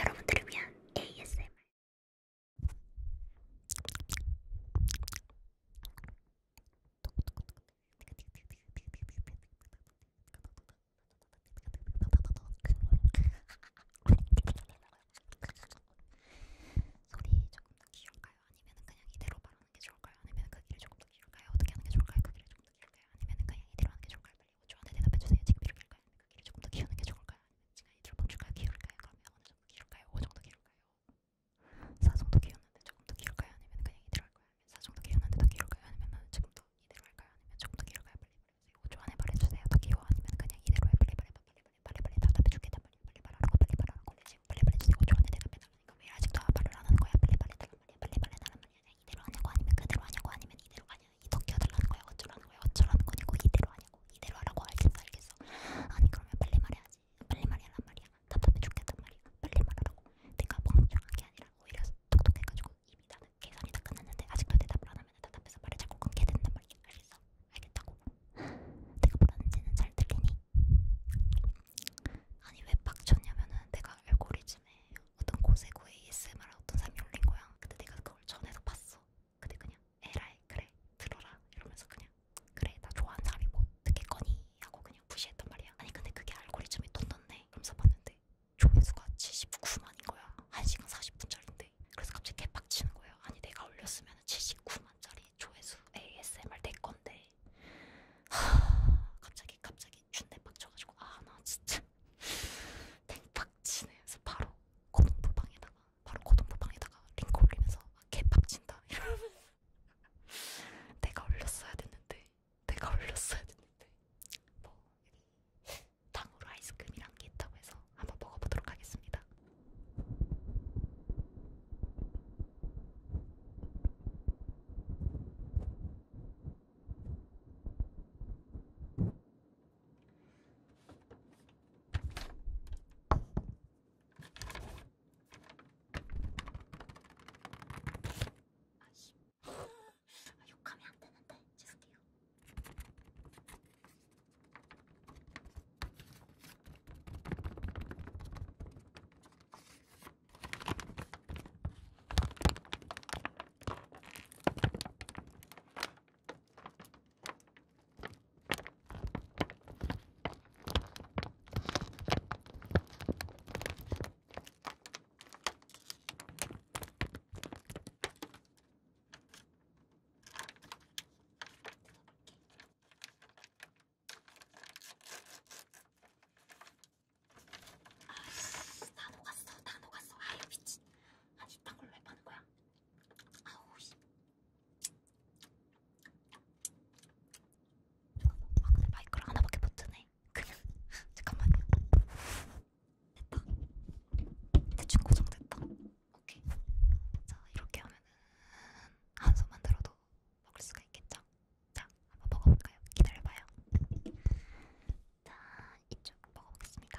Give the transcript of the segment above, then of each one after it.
여러분들을 위한 ASMR 소리 조금 더 키울까요? 아니면 그냥 이대로 말하는 게 좋을까요? 아니면 그 길이 조금 더 길까요? 어떻게 하는 게 좋을까요? 그 길이 조금 더 길까요? 아니면 그냥 이대로 하는 게 좋을까요? 빨리 오초안에 대답해주세요. 지금 길을까요? 그 길을 조금 더 키우는 게 좋을까요? 시간이 들어 멈출까요? 기울까요? 그러면 어느 정도 기울까요? 오 정도 기울까요? 사정도 키웠는데 조금 더 기울까요? 아니면 그냥 이대로 할까요? 사정도 키웠는데 더 기울까요? 아니면 나는 지금 더 이대로 할까요? 아니면 조금 더 기울까요? 빨리 말해주세요. 5초 안에 말해주세요. 더 귀여워. 아니면 그냥 이대로 해. 빨리 말해. 빨리 말해. 빨리 말해. 답답해 죽겠다. 빨리 빨리 말하라고. 빨리 말하라고. 내 지금 빨리 말해주세요. 5초 안에 대답해달라니까 왜 아직도 말을 안 하는 거야? 빨리 말해달란 말이야. 빨리 말해달란 말이야. 이대로 하냐고 아니면 그대로 하냐고 아니면 이대로 가냐? 이렇게 해달라는 거야 어쩌라는 거야 어쩌라는 거냐고 이대로 하냐고 이대로 하라고 알겠어 알겠어 아니 그러면 빨리 말해야지 빨리 말해란 말이야 답답해 죽겠단 말이야 빨리 말하라고 내가 멍청한 게 아니라 오히려 똑똑해가지고 이미 나는 계산이 다 끝났는데 아직도 대답을 안 하면 답답해서 말을 자꾸 끊게 된단 말이야 알겠어? 알겠다고 내가 뭐라는지는 잘 들리니? 아니 왜 빡쳤냐면은 내가 알고리즘에 어떤 고세고 ASMR 어떤 사람이 올린 거야. 근데 내가 그걸 전에서 봤어. 근데 그냥 에라이 그래 들어라 이러면서 그냥 그래 나 좋아하는 사람이 뭐 듣겠거니 하고 그냥 무시했단 말이야. 아니 근데 그게 알고리즘이 돈 넣네. 그러면서 봤는데 조회수가 79만인 거야. 1시간 40분짜리인데. 그래서 갑자기 개빡치는 거예요. 아니 내가 올렸으면 79만짜리 조회수 ASMR 내 건데. 하... 갑자기 갑자기 준대 빡쳐가지고 아 나 진짜 땡팍치네서 바로 고등부방에다가 바로 고등부방에다가 링크 올리면서 개팍친다 이러면 내가 올렸어야 됐는데 내가 올렸어야 됐는데 뭐 당으로 아이스크림이란 게 있다고 해서 한번 먹어보도록 하겠습니다. 아씨 욕하면 안 되는데 죄송해요. 아씨 다 녹았어 다 녹았어 아유 미친 아니 딴 걸로 왜 파는 거야? 아우 씨. 아 근데 마이크를 하나밖에 못 드네. 그냥 잠깐만요. 됐다. 대충 고정됐다. 오케이. 자 이렇게 하면은 한 손만 들어도 먹을 수가 있겠죠? 자 한번 먹어볼까요? 기다려봐요. 자 이쪽 먹어보겠습니다.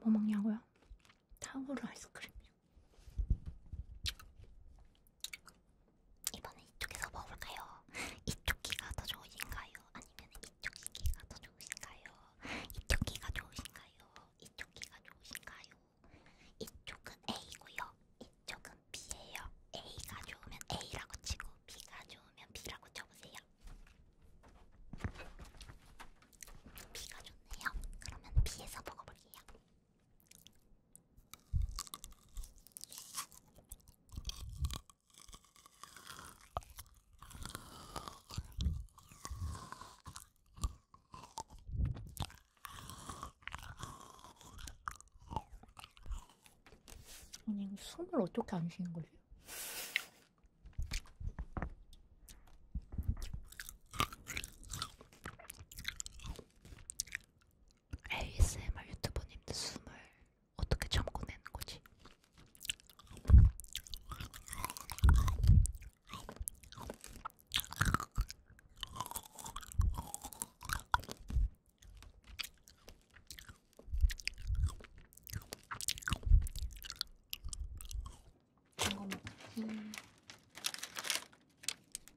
뭐 먹냐고요? 타우르 아이스크림이요. 이번엔 이쪽에서 먹을까요? 이쪽 귀가 더 좋으신가요? 아니면 이쪽 귀가 더 좋으신가요? 이쪽 귀가 좋으신가요? 이쪽 귀가 좋으신가요? 이쪽은 A고요. 이쪽은 B예요. A가 좋으면 A라고 치고 B가 좋으면 B라고 쳐보세요. B가 좋네요. 그러면 B에서 먹어볼게요. 아니 숨을 어떻게 안 쉬는 거지? ASMR 유튜버님들 숨을 어떻게 참고 내는 거지?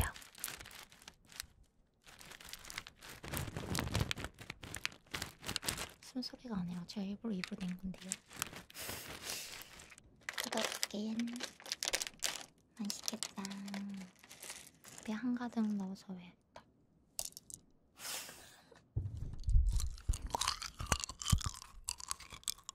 야. 숨소리가 아니라 제가 일부러 입으로 낸 건데요. 뜨겁긴 맛있겠다. 배 한가득 넣어서 왜?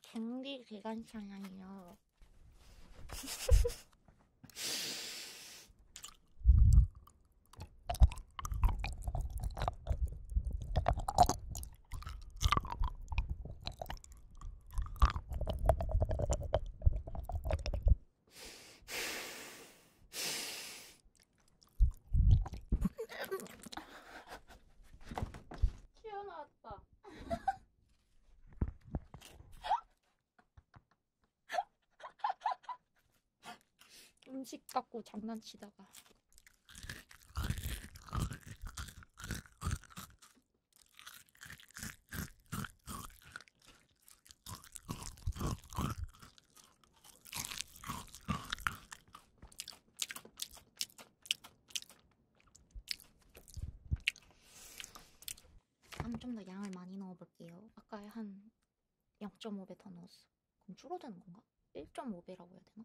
준비 기간잖아요. 튀어나왔다. 음식 갖고 장난치다가 아니 좀더 양을 많이 넣어볼게요. 아까 한 0.5배 더 넣었어. 그럼 줄어드는 건가? 1.5배라고 해야 되나?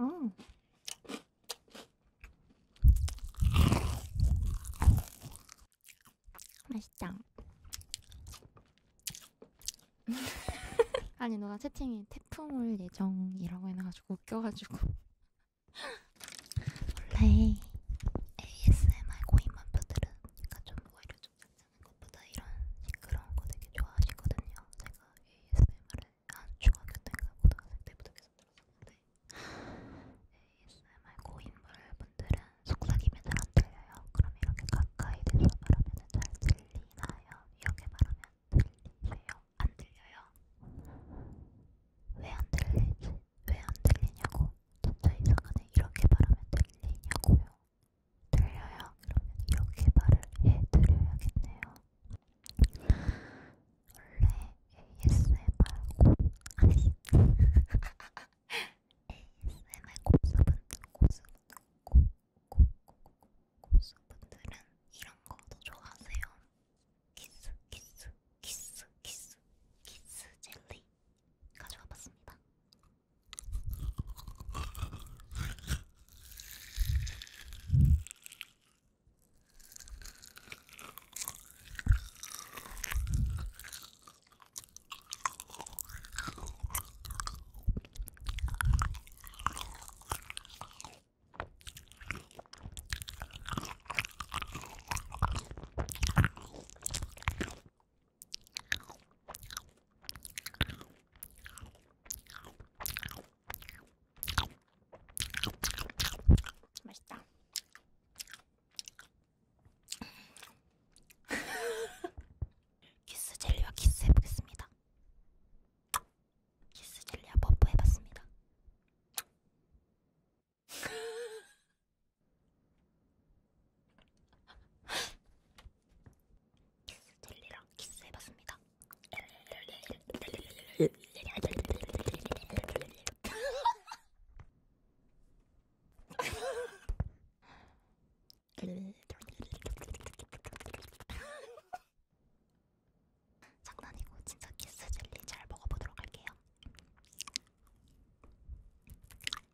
음. 맛있다. 아니 너가 채팅이 태풍 올 예정이라고 해놔가지고 웃겨가지고 원래 ASMR 고인만표들은 그러니까 좀 오히려 좀 잔잔한 것보다 이런 시끄러운 거 되게 좋아하시거든요. 제가 ASMR을 한 중학교 때인가 고등학생 때부터 계속 들었었는데 ASMR 고인물 분들은 속삭이면 잘안 들려요. 그럼 이렇게 가까이 대서 말하면 잘 들리나요? 이렇게 말하면 들리세요? 안 들려요? 왜 안 들리지? 왜안 들리냐고. 전자이사가는 이렇게 말하면 들리냐고요. 들려요? 그러면 이렇게 말을 해드려야겠네요. 원래 ASMR고 아니 ASMR 고수분 고수분 고고고고고수분들은 이런 거더 좋아하세요. 키스 키스 키스 키스 키스 젤리 가져와 봤습니다. 맛있다. 키스 젤리와 키스 해보겠습니다. 키스 젤리와 버프 해봤습니다. 젤리랑 키스해봤습니다. 장난이고 진짜 키스 젤리 잘 먹어보도록 할게요.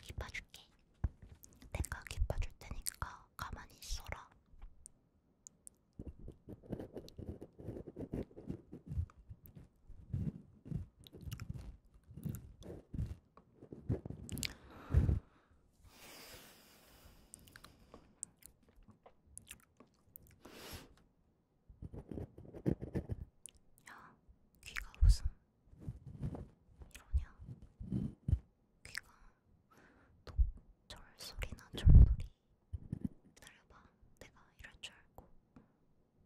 깊어줄게. 내가 깊어줄 테니까 가만히 있어라. 야, 귀가 무슨 이러냐? 귀가 독, 절소리나 절소리 기다려봐. 내가 이럴 줄 알고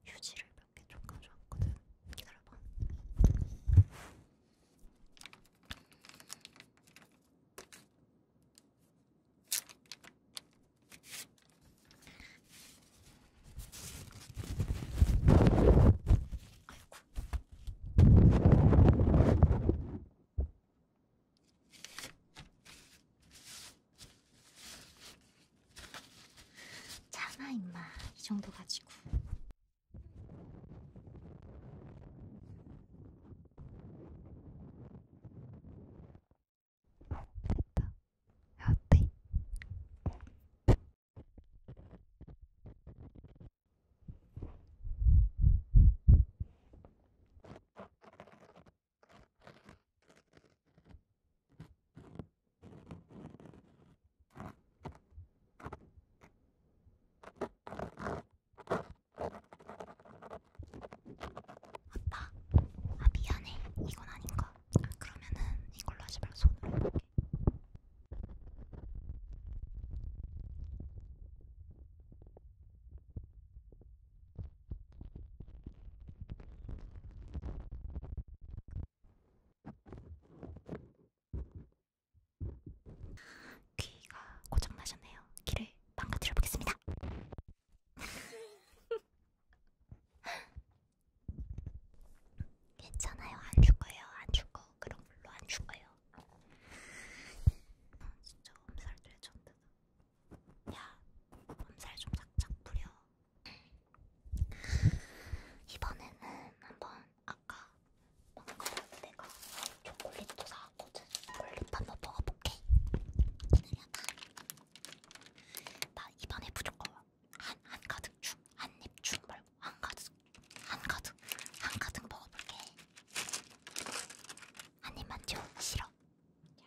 휴지를 몇개 줬가져 왔거든. 기다려봐. 아이고. 참아 임마 이 정도 가지고 됐다 어때? 아빠, 아 미안해. 이건 아닌가? 아, 그러면은 이걸로 하지 말고 손으로 해볼게. 귀가 고장나셨네요. 귀를 망가뜨려 보겠습니다. 괜찮아요. 안 죽어요. 안 죽어. 그런 걸로 안 죽어요. 아, 진짜 엄살들 쳤다. 야, 몸살 좀 작작 부려. 이번에는 한번 아까 방금 내가 초콜릿도 사왔거든. 초콜릿 한번 먹어볼게. 나 이번에 무조건 한, 한 가득 중, 한입 중 말고 한 가득, 한 가득, 한 가득 먹어볼게. 한 입만 줘, 싫어. 자,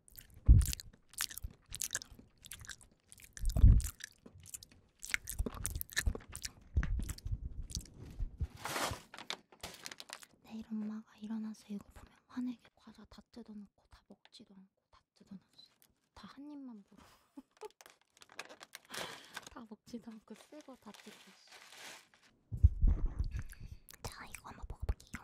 내일 엄마가 일어나서 이거 보면 화내게 과자 다 뜯어놓고 다 먹지도 않고 다 뜯어놨어 다한 입만 물어 다 먹지도 않고 새거다 뜯었어 자 이거 한번 먹어볼게요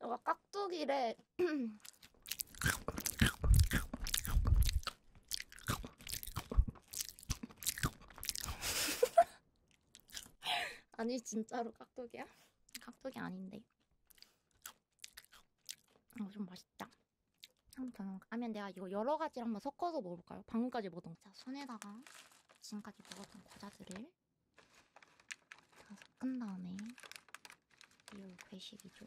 너가 깍두기래. 아니 진짜로 깍두기야? 깍두기 아닌데. 아, 좀 맛있다. 아무튼 아면 내가 이거 여러 가지를 한번 섞어서 먹어볼까요? 방금까지 먹었던 자 손에다가 지금까지 먹었던 과자들을 다 섞은 다음에 이거 괴식이죠.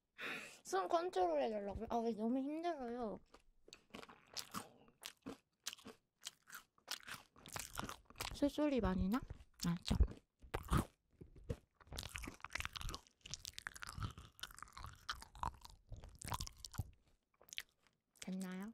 숨 컨트롤 해달라고요? 아, 너무 힘들어요. 술소리 많이 나? 알죠? 됐나요?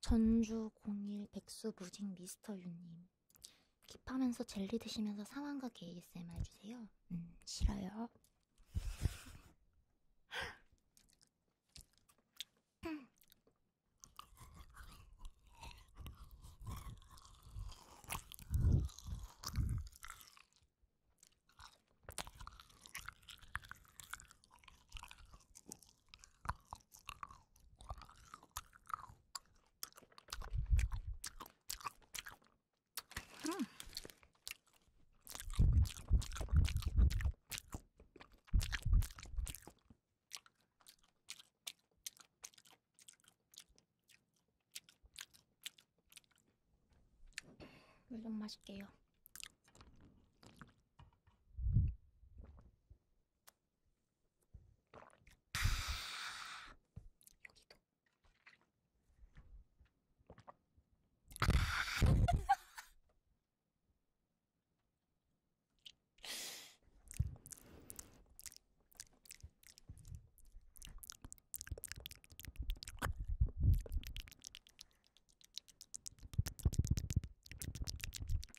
전주 01 백수 무직 미스터 유님. 킵하면서 젤리 드시면서 상황극 ASMR 해주세요. 음, 싫어요. 음. 물좀 마실게요. 아 여기도 아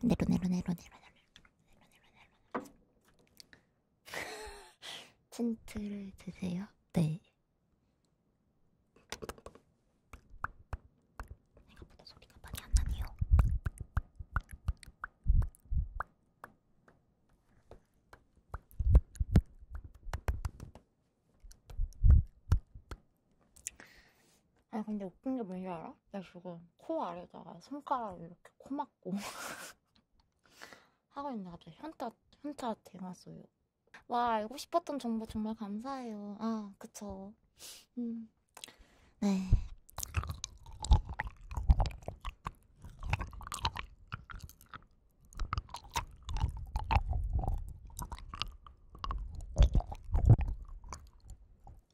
내로 내로 내로 내로 내로 내로 틴트를 드세요? 네. 생각보다 소리가 많이 안 나네요. 아니 근데 웃긴 게 뭔지 알아? 나 지금 코 아래다가 손가락을 이렇게 코 막고 하고 있는데 갑자기 현타, 현타 대났어요. 와 알고 싶었던 정보 정말 감사해요. 아 그쵸. 음. 네.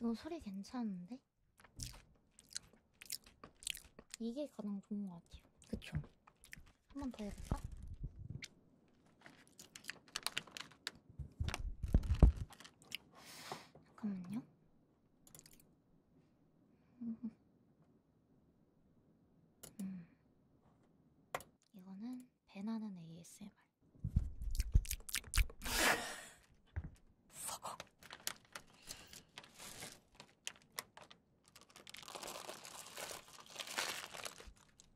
이거 소리 괜찮은데? 이게 가장 좋은 것 같아요. 그쵸? 한 번 더 해볼까? 잠깐만요. 음. 음. 이거는 배나는 ASMR.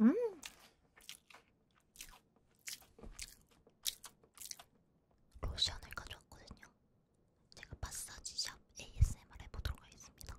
음. 로션을 가져왔거든요. 제가 마사지샵 ASMR 해보도록 하겠습니다.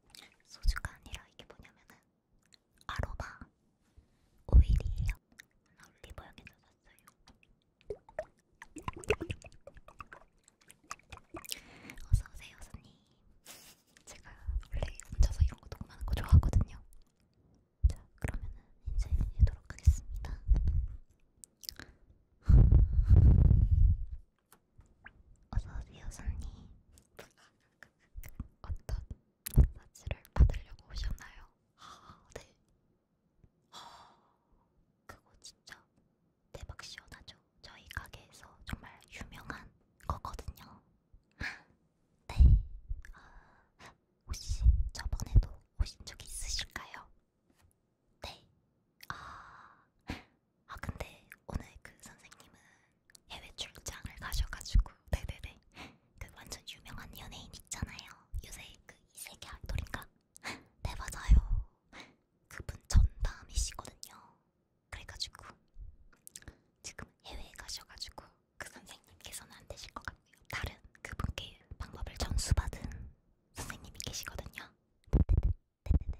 소주가 아니라 이게 뭐냐면은 아로마 오일이에요. 나 올리브영에서 샀어요. 어서오세요, 선님. 제가 원래 혼자서 이런 거 녹음하는 거 좋아하거든요. 자, 그러면은 이제 해도록 하겠습니다. 어서오세요 손님 어떤 마사지를 받으려고 오셨나요? 아, 네 아, 그거 진짜 대박 시원하죠? 저희 가게에서 정말 유명한 거거든요 네 아, 혹시 저번에도 오신 적 있으실까요? 네. 아, 아 근데 오늘 그 선생님은 해외 출장을 가셔가지고 네네네 그 완전 유명한 연예인 있잖아요 요새 그 이세계 아이돌인가? 네 맞아요 그분 전담이시거든요 그래가지고 지금 해외에 가셔가지고 그 선생님께서는 안 되실 것 같고요 다른 그분께 방법을 전수받은 선생님이 계시거든요 네네네. 네,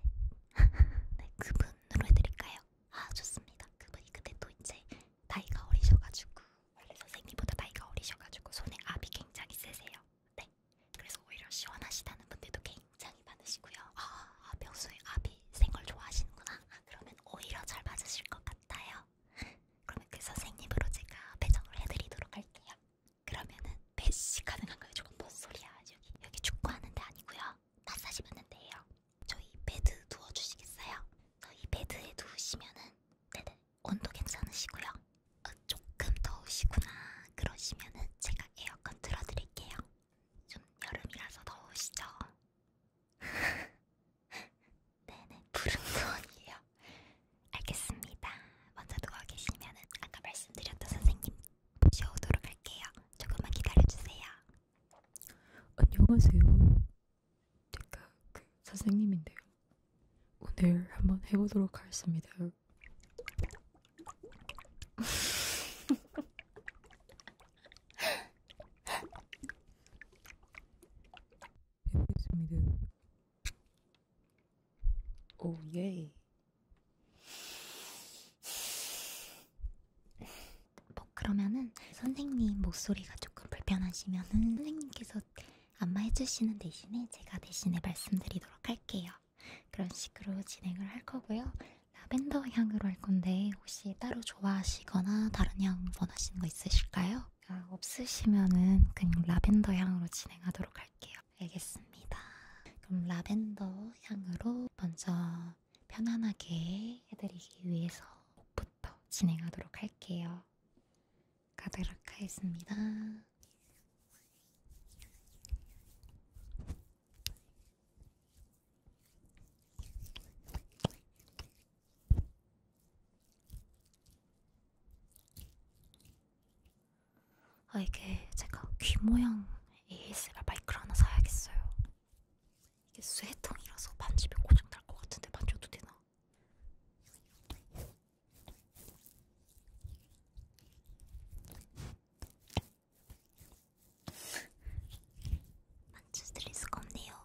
네. 네, 그분으로 해드릴까요? 아, 좋습니다. 그분이 근데 또 이제 나이가 어리셔가지고, 원래 선생님보다 나이가 어리셔가지고, 손에 압이 굉장히 세세요. 네. 그래서 오히려 시원하시다는 분들도 굉장히 많으시고요. 아, 평소에 아, 압이 센 걸 좋아하시는구나. 아, 그러면 오히려 잘 맞으실 것 같아요. 그러면 그 선생님으로 제가 배정을 해드리도록 할게요. 그러면은 배시 가능한가요? 조금 뭔 소리야? 여기 여기 축구하는 데 아니고요. 마사지받는 데예요. 저희 베드 누워주시겠어요? 저희 베드에 누우시면은 네네 온도 괜찮으시고요. 어, 조금 더우시구나 그러시면은 제가 에어컨 틀어드릴게요. 좀 여름이라서 더우시죠? 네네 푸른 소원이에요. 알겠습니다. 먼저 누워 계시면은 아까 말씀드렸던 선생님 모셔오도록 할게요. 조금만 기다려주세요. 안녕하세요. 제가 그 선생님인데요. 오늘 한번 해보도록 하겠습니다. 해보겠습니다. 오 예. 뭐 그러면은 선생님 목소리가 조금 불편하시면은 선생님께서 안마해주시는 대신에 제가 대신에 말씀드리도록 할게요. 그런 식으로 진행을 할 거고요. 라벤더 향으로 할 건데 혹시 따로 좋아하시거나 다른 향 원하시는 거 있으실까요? 아, 없으시면은 그냥 라벤더 향으로 진행하도록 할게요. 알겠습니다. 그럼 라벤더 향으로 먼저 편안하게 해드리기 위해서 목부터 진행하도록 할게요. 가도록 하겠습니다. 아, 이게 제가 귀 모양 ASMR 마이크를 하나 사야겠어요. 이게 쇠통이라서 만지면 고장 날것 같은데 만져도 되나? 만져드릴 수가 없네요.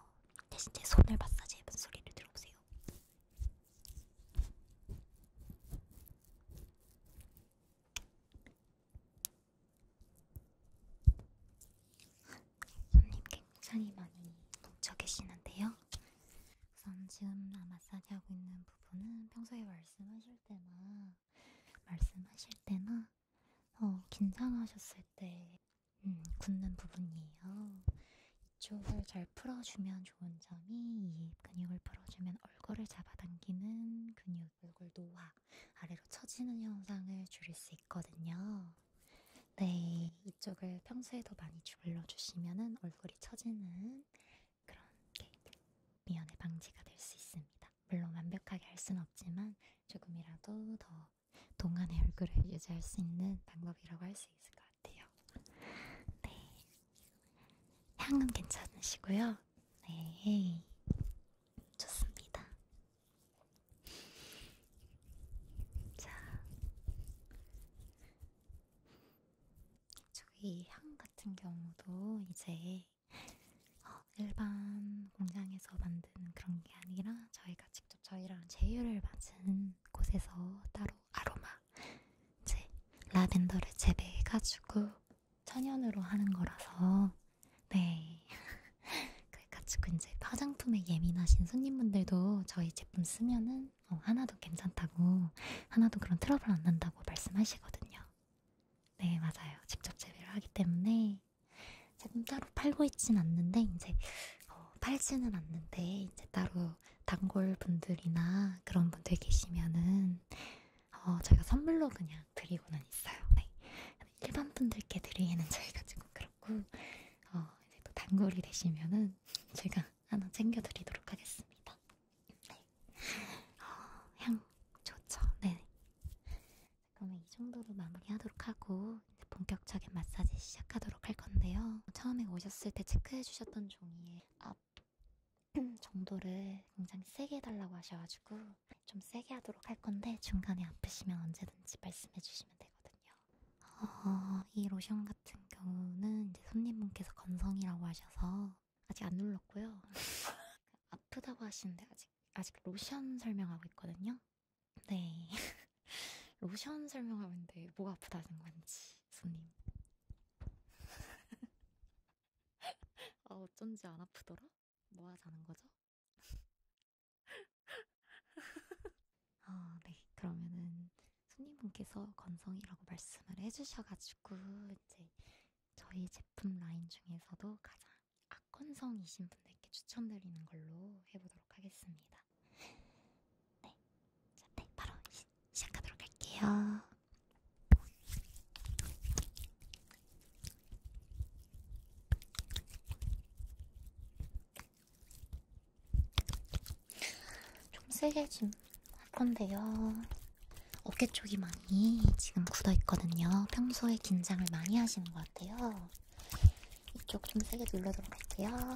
대신 제 손을 마사지해 본 소리를 들어보세요. 손님 굉장히 많이 뭉쳐 계시는데요. 우선 지금 마사지 하고 있는 부분은 평소에 말씀하실 때나 말씀하실 때나 어, 긴장하셨을 때 음, 굳는 부분이에요. 이쪽을 잘 풀어주면 좋은 점이 이 근육을 풀어주면 얼굴을 잡아당기는 근육, 얼굴 노화 아래로 처지는 현상을 줄일 수 있거든요. 네, 이쪽을 평소에도 많이 주물러 주시면은 얼굴이 처지는 그런 게 미연의 방지가 될 수 있습니다. 물론 완벽하게 할 수는 없지만 조금이라도 더 동안의 얼굴을 유지할 수 있는 방법이라고 할 수 있을 것 같아요. 네, 향은 괜찮으시고요. 네, 좋습니다. 자, 저희 향 같은 경우도 이제 어, 일반 공장에서 만든 그런 게 아니라 저희가 직접 저희랑 제휴를 맞은 곳에서 따로 아로마, 이제 라벤더를 재배해가지고 천연으로 하는 거라서 네 그래가지고 이제 화장품에 예민하신 손님분들도 저희 제품 쓰면은 어, 하나도 괜찮다고 하나도 그런 트러블 안 난다고 말씀하시거든요. 네 맞아요 직접 재배를 하기 때문에 제품 따로 팔고 있진 않는데 이제 어, 팔지는 않는데 이제 따로 단골 분들이나 그런 분들 계시면은 어, 저희가 선물로 그냥 그냥 드리고는 있어요. 네. 일반 분들께 드리기는 저희가 조금 그렇고 어, 이제 또 단골이 되시면은 제가 하나 챙겨드리도록 하겠습니다. 네. 어, 향 좋죠. 네. 그러면 이 정도로 마무리하도록 하고 이제 본격적인 마사지 시작하도록 할 건데요. 처음에 오셨을 때 체크해주셨던 종이에 앞 정도를 굉장히 세게 해달라고 하셔가지고 좀 세게 하도록 할 건데 중간에 아프시면 언제든지 말씀해 주시면 되거든요. 어, 이 로션 같은 경우는 이제 손님분께서 건성이라고 하셔서 아직 안 눌렀고요. 아프다고 하시는데 아직 아직 로션 설명하고 있거든요. 네. 로션 설명하는데 뭐가 아프다는 건지 손님. 아 어쩐지 안 아프더라? 뭐 하자는 거죠? 아, 네. 그러면은 손님분께서 건성이라고 말씀을 해주셔가지고 이제 저희 제품 라인 중에서도 가장 악건성이신 분들께 추천드리는 걸로 해보도록 하겠습니다. 네, 자, 네, 바로 시, 시작하도록 할게요. 좀 세게 좀할 건데요. 어깨 쪽이 많이 지금 굳어 있거든요. 평소에 긴장을 많이 하시는 것 같아요. 이쪽 좀 세게 눌러도록 할게요.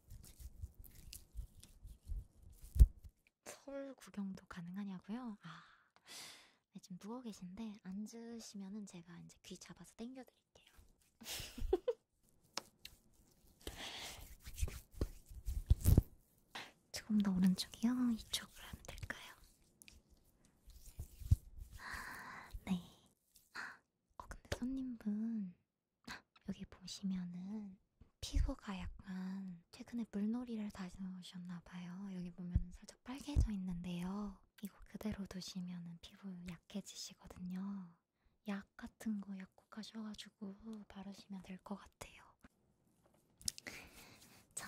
서울 구경도 가능하냐고요? 아, 네, 지금 누워 계신데 앉으시면은 제가 이제 귀 잡아서 당겨드릴게요. 조금 더 오른쪽이요? 이쪽으로 하면 될까요? 아, 네. 아, 어, 근데 손님분 여기 보시면은 피부가 약간 최근에 물놀이를 다시 넣으셨나봐요. 여기 보면 살짝 빨개져 있는데요. 이거 그대로 두시면은 피부 약해지시거든요. 약 같은 거 약국가셔가지고 바르시면 될 것 같아요. 자,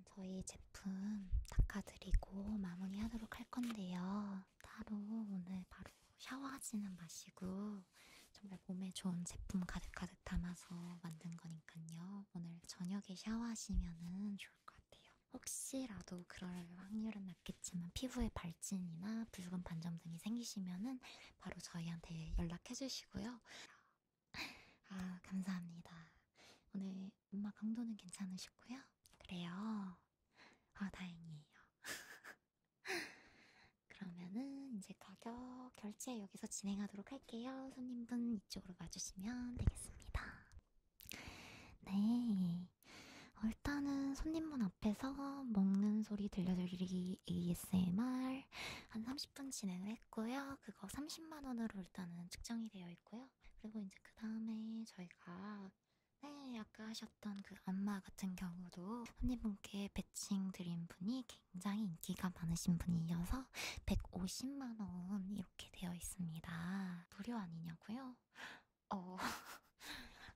일단 저희 제품 닦아드리고 마무리하도록 할 건데요. 따로 오늘 바로 샤워하지는 마시고 정말 몸에 좋은 제품 가득가득 담아서 만든 거니까요. 오늘 저녁에 샤워하시면 좋을 것 같아요. 혹시라도 그럴 확률은 낮겠지만 피부에 발진이나 붉은 반점 등이 생기시면은 바로 저희한테 연락해 주시고요. 아, 감사합니다. 오늘 엄마 강도는 괜찮으셨고요. 그래요. 아, 다행이에요. 그러면은 이제 가격 결제 여기서 진행하도록 할게요. 손님분 이쪽으로 와주시면 되겠습니다. 네. 일단은 손님분 앞에서 먹는 소리 들려드리기 ASMR 한 30분 진행을 했고요. 그거 30만원으로 일단은 측정이 되어 있고요. 있고요. 그리고 이제 그 다음에 저희가 네, 아까 하셨던 그 안마 같은 경우도 손님분께 배칭 드린 분이 굉장히 인기가 많으신 분이어서 150만원 이렇게 되어 있습니다. 무료 아니냐고요? 어,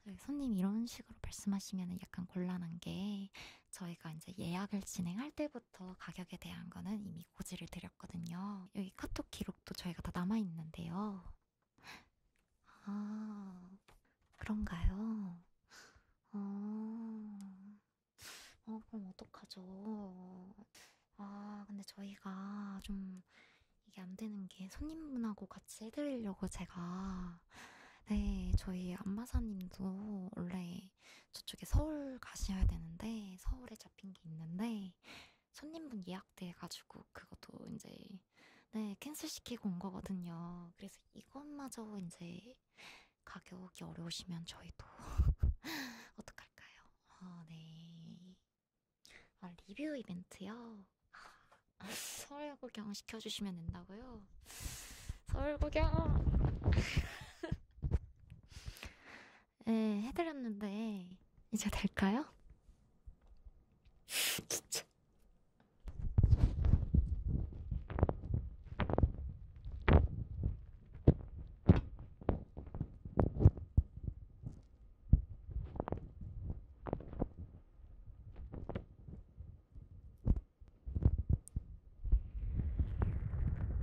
그 손님 이런 식으로 말씀하시면 약간 곤란한 게 저희가 이제 예약을 진행할 때부터 가격에 대한 거는 이미 많이 고지를 드렸거든요. 여기 카톡 기록도 저희가 다 남아있는데요. 아, 그런가요? 어, 어 그럼 어떡하죠? 아, 근데 저희가 좀 이게 안 되는 게 손님분하고 같이 해드리려고 제가 네, 저희 안마사님도 원래 저쪽에 서울 가셔야 되는데 서울에 잡힌 게 있는데 손님분 예약돼가지고 그것도 이제 네 캔슬시키고 온 거거든요. 그래서 이것마저 이제 가격이 어려우시면 저희도 어떡할까요? 어, 네. 아, 리뷰 이벤트요. 서울 구경 시켜주시면 된다고요. 서울 구경. 예, 해드렸는데 이제 될까요? 진짜.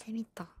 재밌다.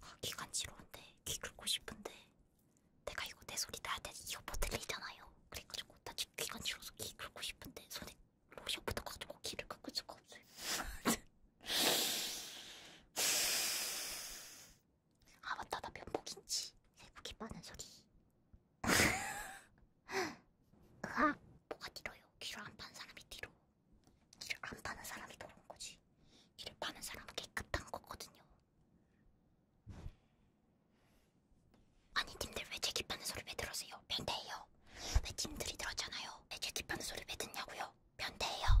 아, 귀 간지러운데 귀 긁고 싶은데 내가 이거 내 소리 나한테 이어폰 들리잖아요. 그래가지고 나 지금 귀 간지러워서 귀 긁고 싶은데 손에 로션 묻어가지고 귀를 긁을 수가 없어요. 아 맞다 나 면목인지 새고기 빠는 소리. 으악 뭐가 뒤로요? 귀로 안판 사람이 뒤로. 이를 안 파는 사람이 더러운 거지. 이를 파는 사람은 깨끗한 거거든요. 아니 님들 왜 제기 파는 소리 왜 들으세요? 변태예요. 왜 님들이 들었잖아요. 왜 제기 파는 소리 왜 듣냐고요? 변태예요.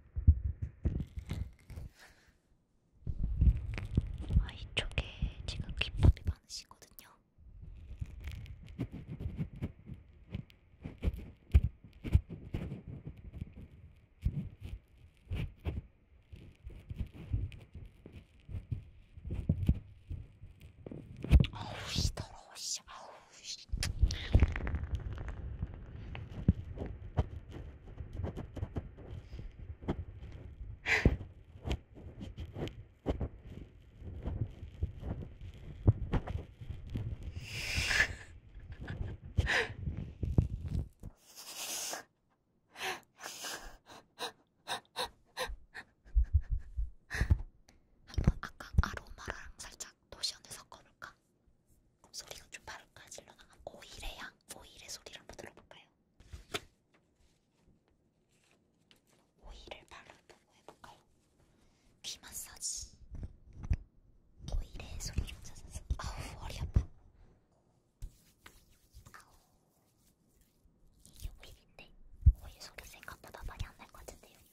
아, 이쪽에 지금 김밥이 많으시거든요. 어우, 씨, 더러워, 씨, 아우. 아, 한번 아까 아로마랑 살짝 도시언에 섞어볼까? 소리가 좀 바를까 질러나간 오일의 향, 오일의 소리를 한번 들어볼까요? 오일을 바르고 해볼까요? 귀 마사지 오일의 소리를 찾아서 아우 머리 아파 아우 이게 오일인데 오일 소리 생각보다 많이 안 날 것 같은데요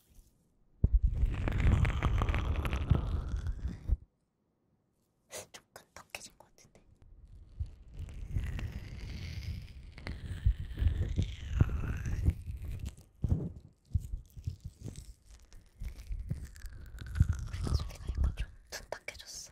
좀 끈덕해진 것 같은데. 그래서 소리가 약간 좀 둔탁해졌어.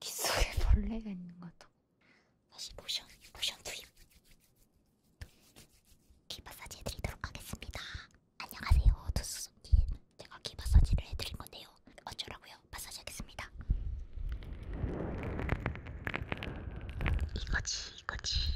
귀 속에 벌레가 있는 것 같아. 다시 모션, 모션 투입. 귀 마사지 해드리도록 하겠습니다. 안녕하세요, 두수수님. 제가 귀 마사지를 해드린 건데요. 어쩌라고요? 마사지 하겠습니다. 이거지, 이거지.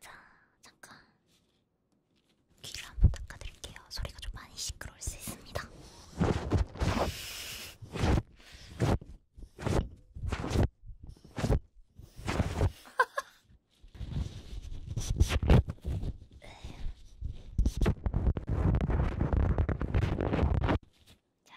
자, 잠깐. 귀를 한번 닦아드릴게요. 소리가 좀 많이 시끄러울 수 있습니다. 자.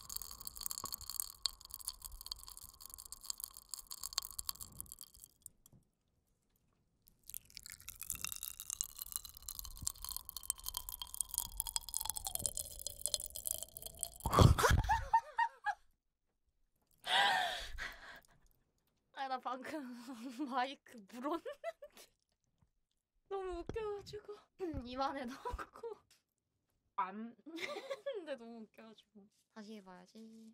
아니 나 방금 마이크 물었는데 너무 웃겨가지고 입안에 넣고 안 근데 너무 웃겨가지고 다시 해봐야지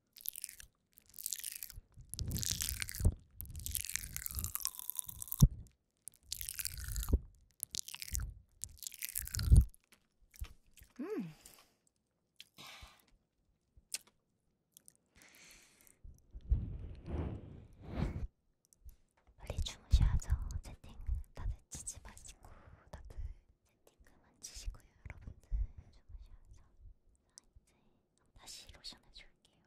음. 빨리 주무셔야죠. 채팅 다들 치지 마시고 다들 채팅 그만 치시고요, 여러분들. 주무셔서. 자, 이제 다시 로션 해줄게요.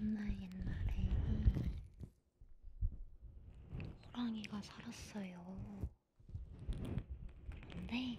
옛날 옛날에 호랑이가 살았어요. 그런데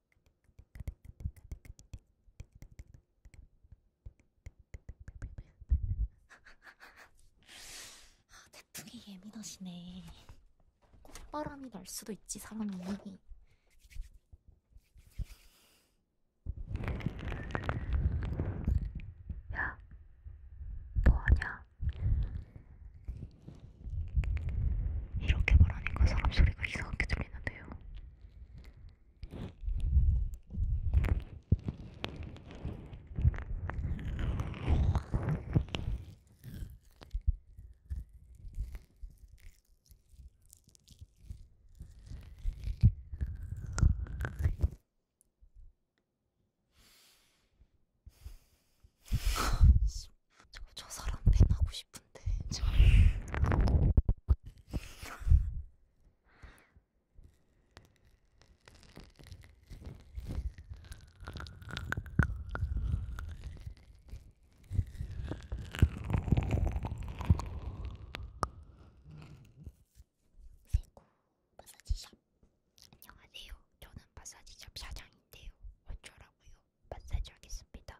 아, 태풍이 예민하시네. 꽃바람이 날 수도 있지, 사람이. 야, 뭐하냐? 이렇게 말하니까 사람 소리가 이상하게 들리는데요. 저, 저 사람 팬하고 싶은데 저... 세고 마사지샵 안녕하세요. 저는 마사지샵 사장인데요. 어쩌라고요? 마사지 하겠습니다.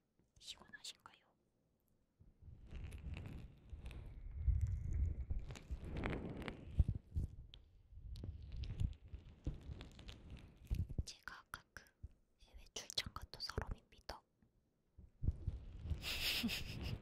시원하신가요? 제가 아까 그 해외 출장 갔던 사람입니다.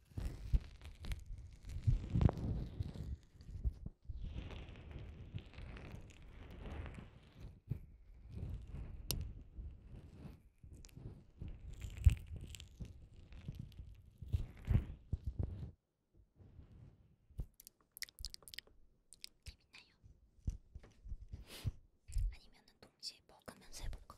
아니면은 동시에 먹으면서 해볼까?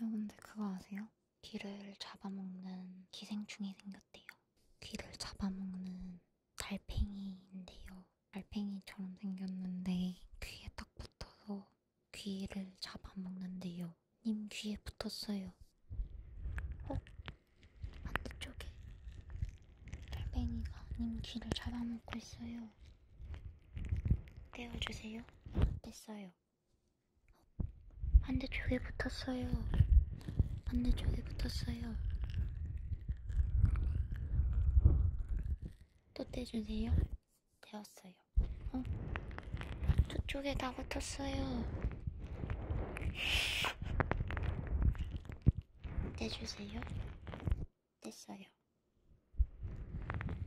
여러분들 그거 아세요? 귀를 잡아먹는 기생충이 생겼대요. 귀를 잡아먹는 달팽이인데요. 달팽이처럼 생겼는데 귀에 딱 붙어서 귀를 잡아먹는데요. 님 귀에 붙었어요. 어? 반대쪽에 달팽이가 님 귀를 잡아먹고 있어요. 떼어주세요. 떼어주세요. 됐어요. 반대쪽에 붙었어요. 반대쪽에 붙었어요. 또 떼주세요. 되었어요. 어? 저쪽에 다 붙었어요. 떼주세요. 됐어요. 댓글을 보여드리겠습니다.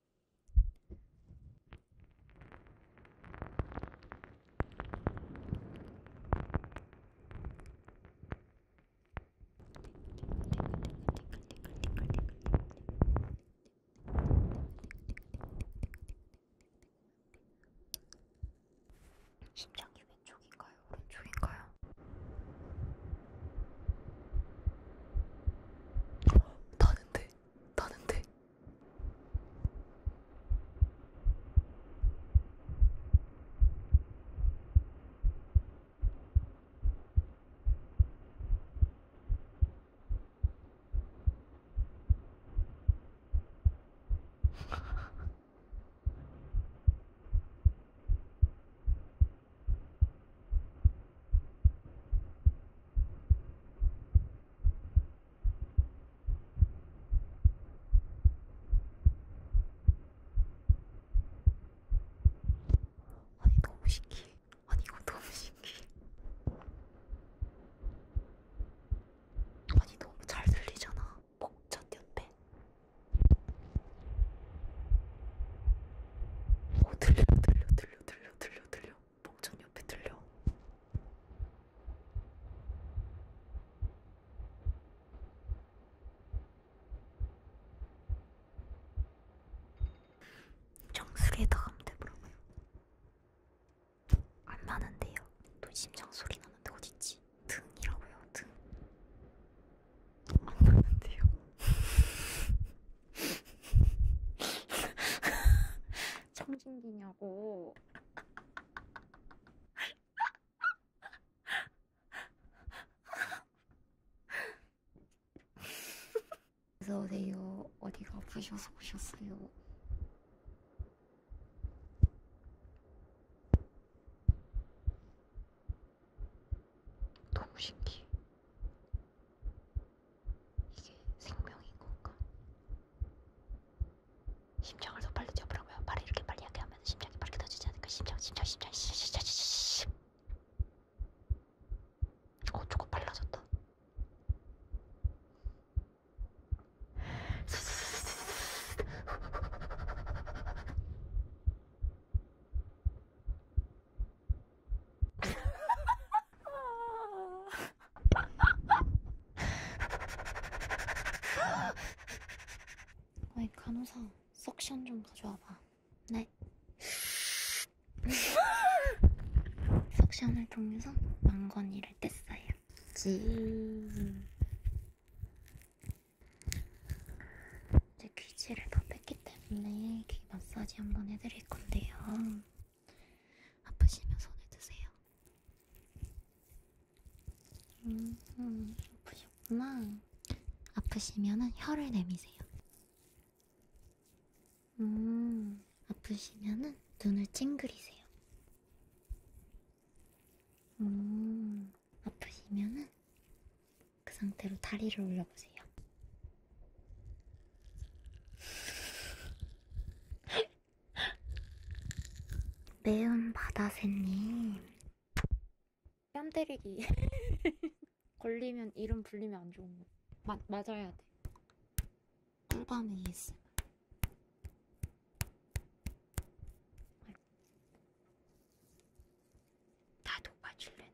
심장이 왼쪽인가요? 오른쪽인가요? 다 나는 돼. 나는 돼. 아니 너무 신기해. 아니 이거 너무 신기해. 아니 너무 잘 들리잖아. 목젖 옆에. 오 들려 들려 들려 들려 들려 들려 들려. 봉천 옆에 들려. 정수리에다 가면 되더라고요. 안 나는데요. 또 심장 소리 나는데 어딨지? 등이라고요. 등. 안 나는데요. 청진기냐고. 어서 오세요. 어디가 아프셔서 오셨어요? 너무 신기해. 이게 생명인 건가? 심장을 더 빨리 뛰어보라고요. 말을 이렇게 빨리 하게 하면 심장이 빠르게 터지지 않을까? 심장, 심장, 심장, 심장, 심장, 심장. 어, 조금 빨라졌다. 어이 간호사 석션 좀 가져와봐 네 석션을 통해서 망건이를 뗐어요 지 이제 귀지를 다 뺐기 때문에 귀 마사지 한번 해드릴게요 드릴 건데요. 아프시면 손에 드세요. 음, 음, 아프셨구나. 아프시면은 혀를 내미세요. 음, 아프시면은 눈을 찡그리세요. 음, 아프시면은 그 상태로 다리를 올려보세요. 매운 바다새님 뺨 때리기 걸리면 이름 불리면 안 좋은 거 마, 맞아야 돼 꿀밤 ASMR 나도 맞출래는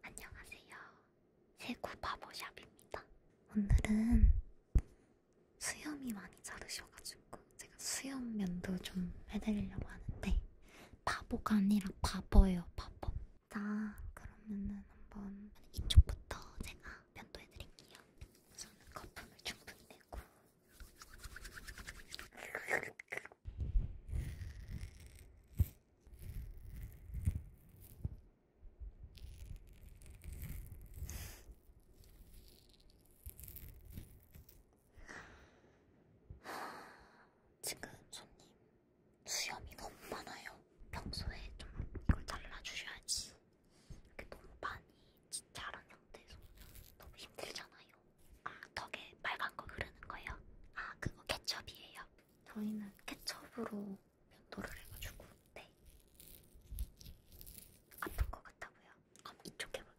안녕하세요. 세구 바보샵입니다. 오늘은 수염이 많이 자르셔가지고 제가 수염면도 좀 해드리려고 하는데 바보가 아니라 바보예요 바보 자 그러면은 한번 이쪽부터 제가 면도 해드릴게요 저는 거품을 충분히 내고 지금 손님 수염이 너무 많아요. 평소에 좀 이걸 잘라주셔야지. 이렇게 너무 많이 자란 상태에서 너무 힘들잖아요. 아, 덕에 빨간 거 흐르는 거예요? 아, 그거 케첩이에요. 저희는 케첩으로 면도를 해가지고, 네. 아픈 것 같다고요? 그럼 이쪽 해볼게요.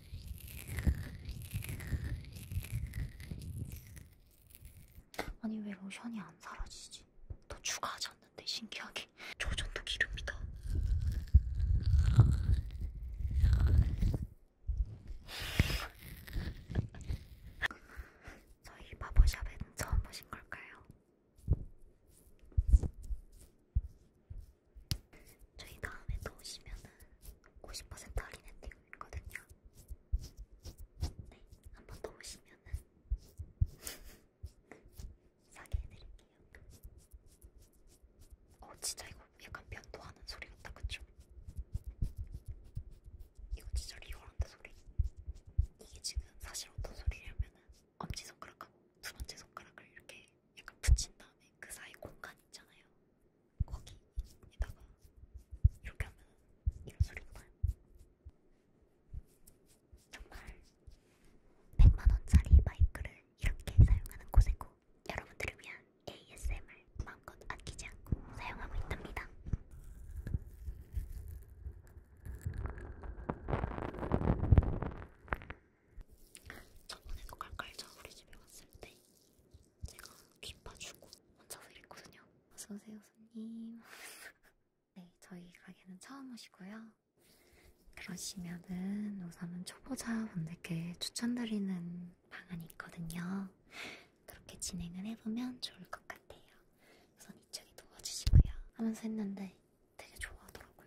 아니 왜 로션이 안 사라지지? 더 추가하지 않는데 신기하게 조전도 기름이다. 저희 바보샵에는 처음 보신 걸까요? 저희 다음에 또 오시면은 50% 할인 혜택 있거든요. 네, 한번더 오시면은 사게 해드릴게요. 어, 진짜 이거 약간 변도하는 소리 같다, 그쵸? 이거 진짜 리얼한데 소리. 이게 지금 사실 어떤 소리냐면은 엄지손가락하고 두 번째 손가락을 이렇게 약간 붙인 다음에 그 사이 공간 있잖아요. 거기에다가 이렇게 하면 이런 소리가 나요. 정말 100만원짜리 마이크를 이렇게 사용하는 곳이고 여러분들을 위한 ASMR 마음껏 아끼지 않고 사용하고 있답니다. 저번에도 깔깔자 뭐 우리 집에 왔을 때 제가 귀 파주고 혼자서 이랬거든요. 어서오세요, 손님. 네, 저희 가게는 처음 오시고요. 그러시면은 우선은 초보자분들께 추천드리는 방안이 있거든요. 그렇게 진행을 해보면 좋을 것 같아요. 우선 이쪽에 누워주시고요. 하면서 했는데 되게 좋아하더라고요.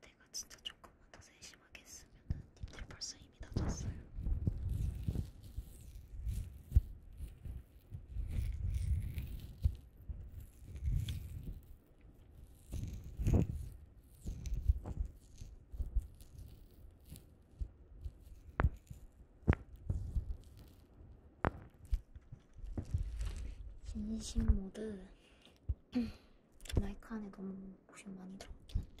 내가 진짜 조금만 더 세심하게 했으면은 님들 벌써 이미 다졌어요. 진심 모드 마이크 안에 너무 고심 많이 들어갔긴 한데.